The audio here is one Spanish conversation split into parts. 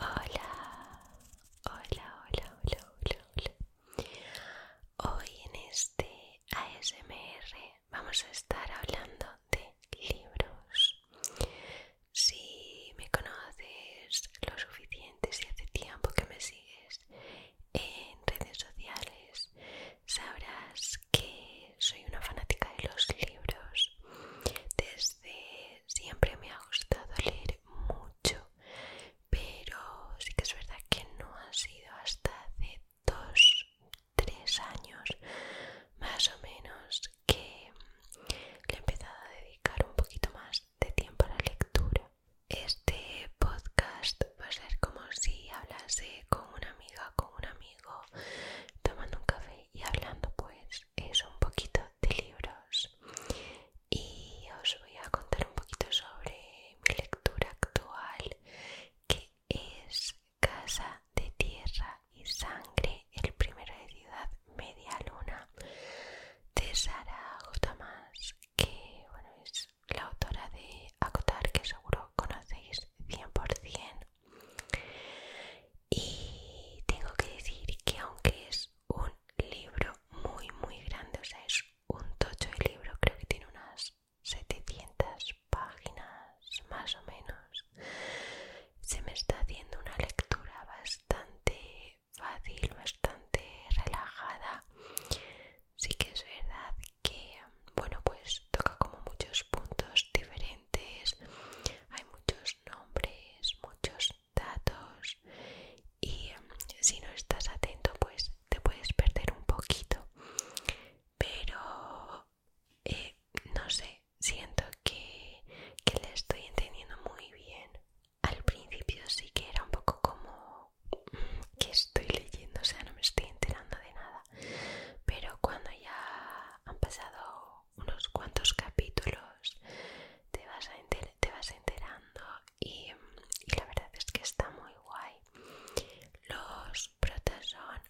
Hola, hola, hola, hola, hola, Hoy en este ASMR vamos a estar hablando de libros. Si me conoces lo suficiente, si hace tiempo que me sigues en redes sociales, sabrás que que soy una fanática de los libros. Desde siempre me ha gustado leer mucho, pero sí que es verdad que no ha sido hasta hace dos, tres años más o menos que le he empezado a dedicar un poquito más de tiempo a la lectura. Este podcast va a ser como si hablase con una amiga, con una amiga tomando un café y hablando pues es un poquito de libros y os voy a contar un poquito sobre mi lectura actual que es Casa de Tierra y Sangre, el primero de Ciudad Media Luna de Sara J. que bueno, es la autora de Acotar que seguro conocéis 100% y tengo que decir que aunque es un libro muy muy grande, o sea, es un tocho de libro, creo que tiene unas 700 páginas más o menos. Se me está haciendo una lectura bastante fácil, bastante relajada. Sí que es verdad que bueno pues toca como muchos puntos diferentes hay muchos nombres muchos datos y mm, si no estás atento pues te puedes perder un poquito pero eh, no sé siento que, que le estoy entendiendo muy bien al principio sí que era un poco como mm, que estoy leyendo o sea no me estoy enterando de nada pero cuando ya han pasado unos cuantos capítulos, te vas, a te vas enterando y, la verdad es que está muy guay. Los protas son,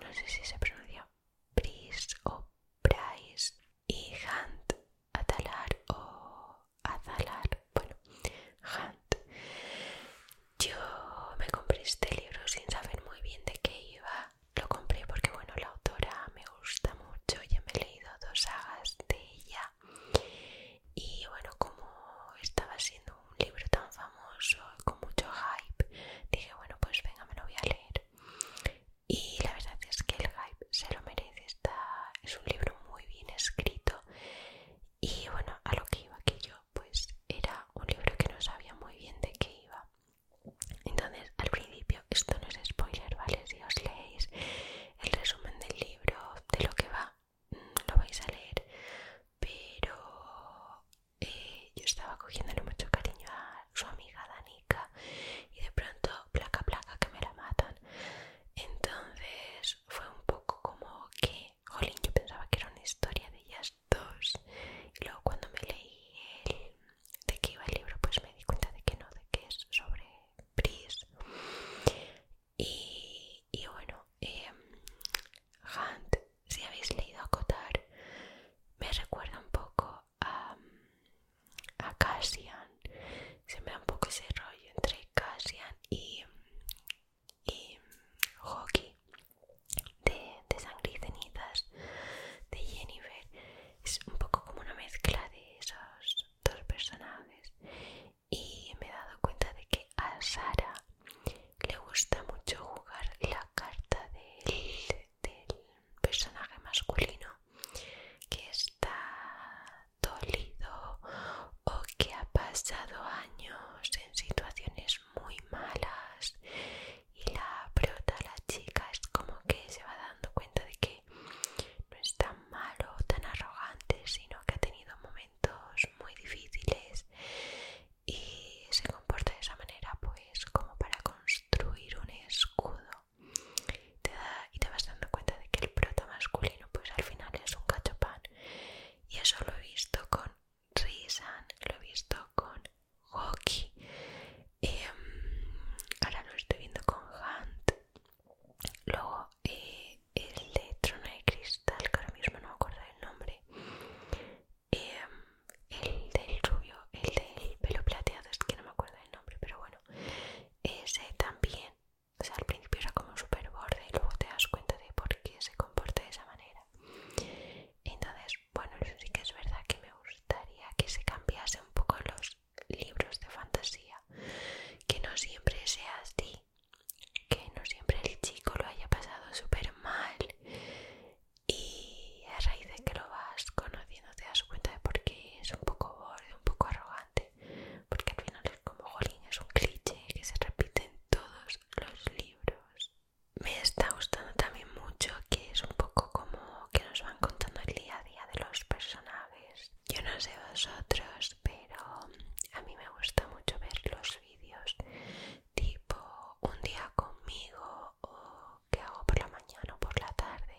no sé si se pronuncia Pris o Price y Hunt, Atalar o Atalar, bueno, Hunt. Yo me compré este libro sin saber muy bien de qué iba. Lo compré porque, bueno, la autora me gusta mucho. Ya me he leído dos sagas de ella. Y bueno, como estaba siendo un libro tan famoso, con mucho hype, dije, bueno, pues venga, me lo voy a leer. Y la verdad es que el hype se lo merece. Está, es un libro muy bien escrito. Y bueno, a lo que iba, que yo pues era un libro que no sabía muy bien de qué iba. Entonces, al principio, esto no es spoiler, ¿vale? Si os leéis el resumen del libro, de lo que va, mm, lo vais a leer. Pero eh, yo estaba cogiéndole mucho cariño a su amiga Danica y de pronto, placa, placa, que me la matan. Entonces, fue un poco como que, jolín, yo pensaba que era una historia de ellas dos. Y luego cuando me leí de qué iba el libro, pues me di cuenta de que no, de que es sobre Pris. Y, bueno, em, Hunt, si habéis leído Acotar, me recuerda un poco a, a Cassian. Se me da un poco ese rollo entre Cassian y y hockey de, sangre y cenizas de Jennifer. Es un poco como una mezcla de esos dos personajes. Y me he dado cuenta de que a Sara le gusta mucho jugar la carta del personaje masculino que está dolido o que ha pasado años en situaciones muy malas y la prota la chica es como que se va dando cuenta de que no es tan malo, tan arrogante, sino que ha tenido momentos muy difíciles y se comporta de esa manera pues como para construir un escudo y te vas dando cuenta de que el prota masculino pues al final es un cachopán y eso lo he visto con Risan, lo he visto con Hoki, em, ahora lo estoy viendo con Hunt, luego eh, el de Trono de Cristal, que ahora mismo no me acuerdo del nombre, em, el del rubio, el del pelo plateado, es que no me acuerdo del nombre, pero bueno, ese también o sea, al principio era como súper borde y luego te das cuenta de por qué se comporta de esa manera. Entonces, bueno, eso sí que es verdad que me gustaría que se cambiase un poco los libros de fantasía. Que no siempre sea así. Que no siempre el chico lo haya pasado súper mal. Y a raíz de que lo vas conociendo te das cuenta de por qué es un poco borde, un poco arrogante porque al final es como jolín, es un cliché que se repite en todos los libros. Me está gustando también mucho que es un poco como que nos van contando el día a día de los personajes. Yo no sé vosotros, pero a mí me gusta mucho ver los vídeos tipo un día conmigo o qué hago por la mañana o por la tarde.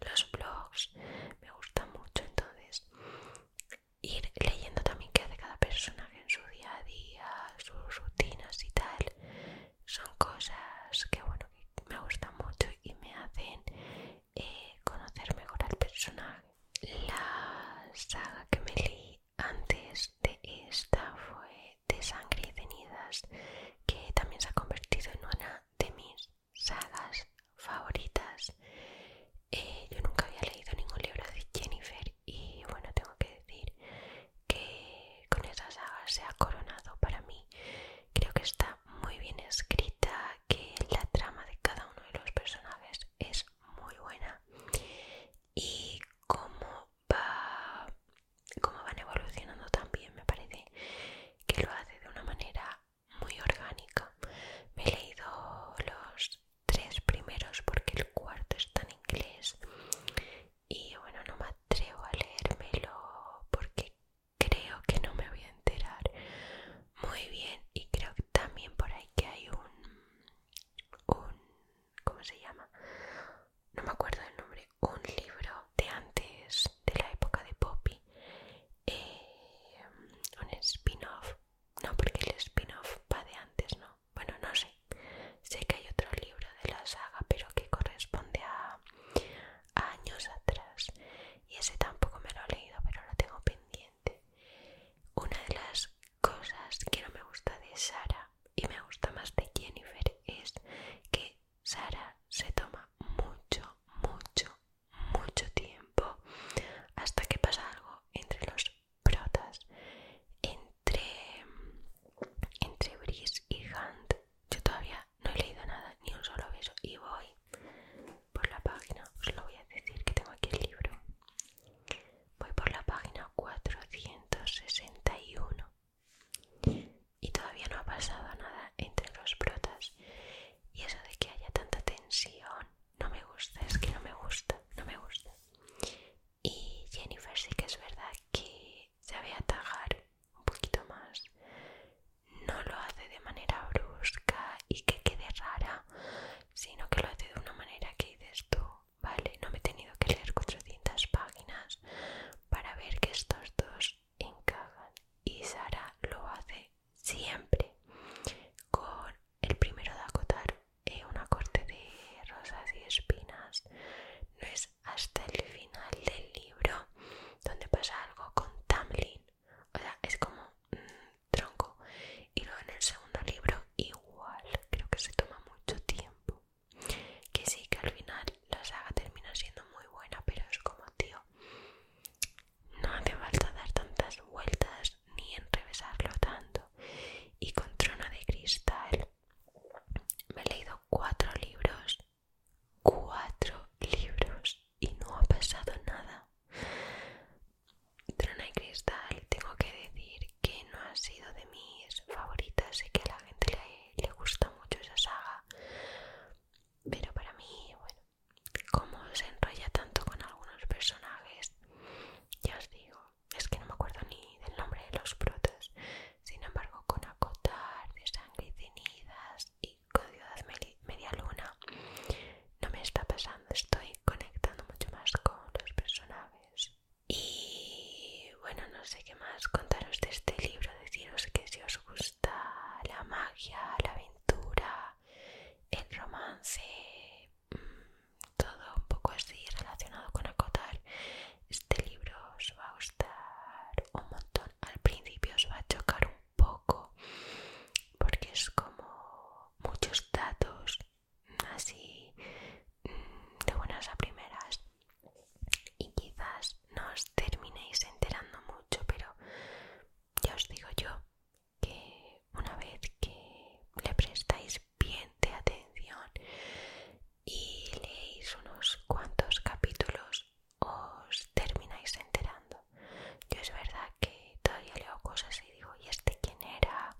Los vlogs me gusta mucho, entonces ir leyendo también qué hace cada personaje en su día a día, sus rutinas y tal. Son cosas que, bueno, me gustan mucho y me hacen eh, conocer mejor al personaje. La saga que me leí antes de esta fue de Sangre y Cenizas, que también se ha convertido en una de mis sagas favoritas. Eh, yo nunca había leído ningún libro de Jennifer y bueno, tengo que decir que con esa saga se ha coronado para mí. Creo que está muy bien escrita, que la trama de cada uno de los personajes es muy buena y cómo va cómo van evolucionando también me parece que lo hace de una manera muy orgánica. Me he leído los tres primeros porque el cuarto está en inglés y bueno, no me atrevo a leérmelo porque creo que no me voy a enterar muy bien y creo que también por ahí que hay un, un ¿cómo se llama? No me acuerdo el nombre, un libro de antes de la época de Poppy eh, un spin-off. No, porque el spin-off va de antes, ¿no? Bueno, no sé. Sé que hay otro libro de la saga, pero que corresponde a, a años atrás. Y ese tampoco me lo he leído, pero lo tengo pendiente. Una de las cosas que no me gusta de Sara y me gusta más de Jennifer es que Sara se toma mucho, mucho, mucho tiempo hasta que pasa algo entre los protas, entre, entre Brice y Hunt. Yo todavía no he leído nada, ni un solo beso, y voy por la página, os lo voy a decir que tengo aquí el libro. Voy por la página 461 y todavía no ha pasado nada entre los brotas. Y eso de que haya tanta tensión no me gusta, es que no me gusta, no me gusta. Y Jennifer sí que es verdad que Se a atajar un poquito más. No lo hace de manera brusca y que quede rara, sino que lo hace de una manera que dices tú, vale, no me he tenido que leer 400 páginas para ver que estos dos Kagan y Sara lo hace siempre con el primero de acotar es eh, una corte de rosas y espinas no es hasta el final del libro donde pasa algo con Tamlin o sea es como tronco y luego en el segundo libro igual creo que se toma mucho tiempo que sí que al final la saga termina siendo muy buena, pero es como, tío, no hace falta dar tantas vueltas ni enrevesarlo tanto. Y con Trona de Cristal me he leído cuatro libros, cuatro libros y no ha pasado nada. Trona de Cristal, tengo que decir que no ha sido de mis favoritas, sé que a la gente le, le gusta mucho esa saga, pero para mí, bueno, como se enrolla tanto con algunos personajes, ya os digo, es que no me acuerdo ni del nombre de los protas, sin embargo, con acotar de sangre y cenizas y con media luna, no me está pasando, estoy conectando mucho más con los personajes. Y bueno, no sé qué más contaros de este libro, deciros que si os gusta la magia, la aventura, el romance, mm, todo un poco así relacionado con acotar, este libro os va a gustar un montón. Al principio os va a chocar un poco porque es como muchos datos así mm, de buenas a primeras y quizás no os terminéis enterando mucho, pero ya os digo yo que una vez que le prestáis bien de atención y leéis unos cuantos capítulos, os termináis enterando. Yo es verdad que todavía leo cosas y digo, ¿y este quién era?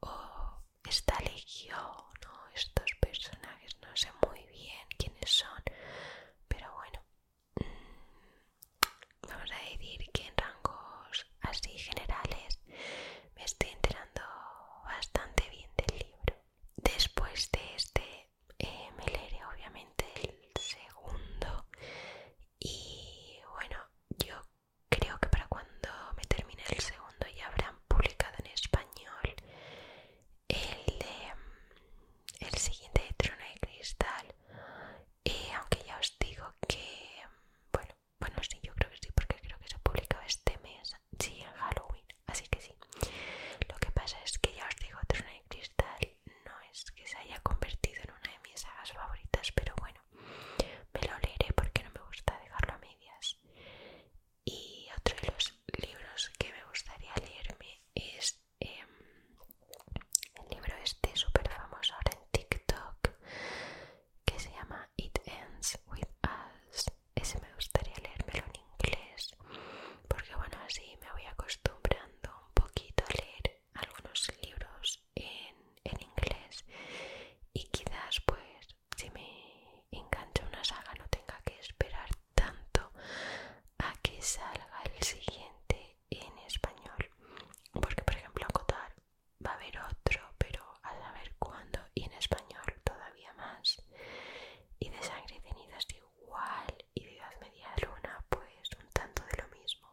O esta legión o estos personajes, no sé muy bien quiénes son, pero bueno, mm, vamos a decir que en rangos así generales me estoy enterando bastante bien del libro. Después de este eh, me leeré obviamente el segundo y bueno, yo creo que para cuando me termine el segundo ya habrá publicado en español el de, el siguiente de Trono de Cristal y eh, aunque ya os digo que bueno bueno sí yo creo que sí porque creo que se ha publicado este mes sí en Halloween así que sí lo que pasa es que ya os digo Trono de Cristal no es que se haya convertido en una de mis sagas favoritas pero bueno me lo leeré porque no me gusta dejarlo a medias y otro de los libros que me gustaría leerme es em, el libro este súper famoso ahora en TikTok que se llama It Ends With Us. Ese me gustaría leérmelo en inglés porque bueno, así me voy acostumbrando un poquito a leer algunos libros en inglés y quizás pues si me engancha una saga no tenga que esperar tanto a que salga el siguiente en español porque por ejemplo cotar va a haber otro pero a saber cuándo y en español todavía más y de sangre y cenizas igual y de edad media luna pues un tanto de lo mismo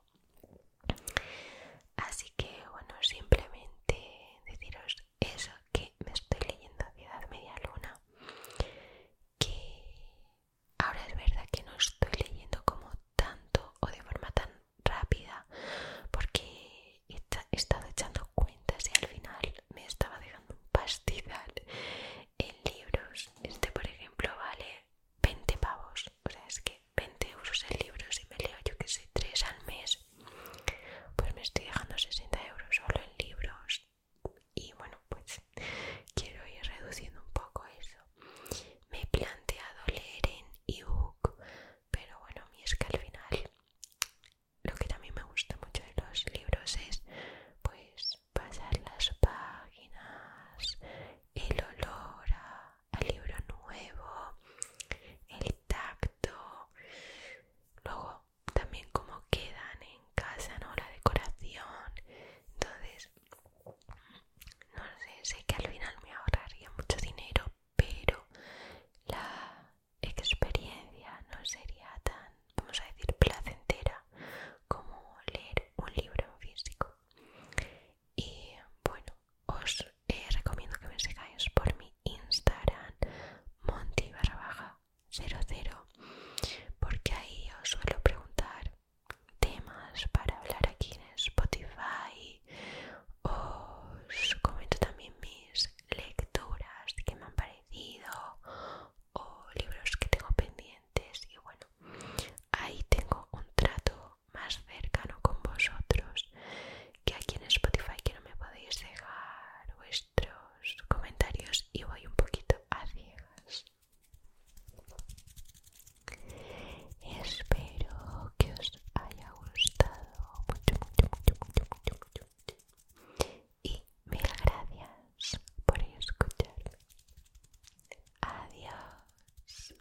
así que bueno simplemente deciros eso que me estoy leyendo Ciudad Media Luna, que ahora es verdad que no estoy leyendo como tanto o de forma tan rápida, porque he, estado echando cuentas y al final me estaba dejando un pastizal en libros. Este, por ejemplo, vale 20 pavos, o sea, es que 20 euros en libros y me leo yo que sé, 3 al mes pues me estoy dejando 60 euros solo en libros y bueno pues quiero ir reduciendo un poco eso me he planteado leer en ebook pero bueno mi es que al final lo que también me gusta mucho de los libros es pues pasar las páginas el olor a el libro nuevo, el tacto, luego también como quedan en casa, ¿no? La decoración. Entonces, no sé, sé que al final me ahorraría mucho dinero, pero la experiencia no sería tan, vamos a decir, placentera como leer un libro en físico. Y bueno, os eh, recomiendo que me sigáis por mi Instagram, monty baja 00, porque ahí os suelo preguntar temas para hablar aquí en Spotify. Os comento también mis lecturas que me han parecido o libros que tengo pendientes. Y bueno, ahí tengo un trato más cercano con vosotros que aquí en Spotify que no me podéis dejar vuestros comentarios y voy un poquito a ciegas espero que os haya gustado mucho mucho mucho mucho mucho, y mil gracias por escuchar adiós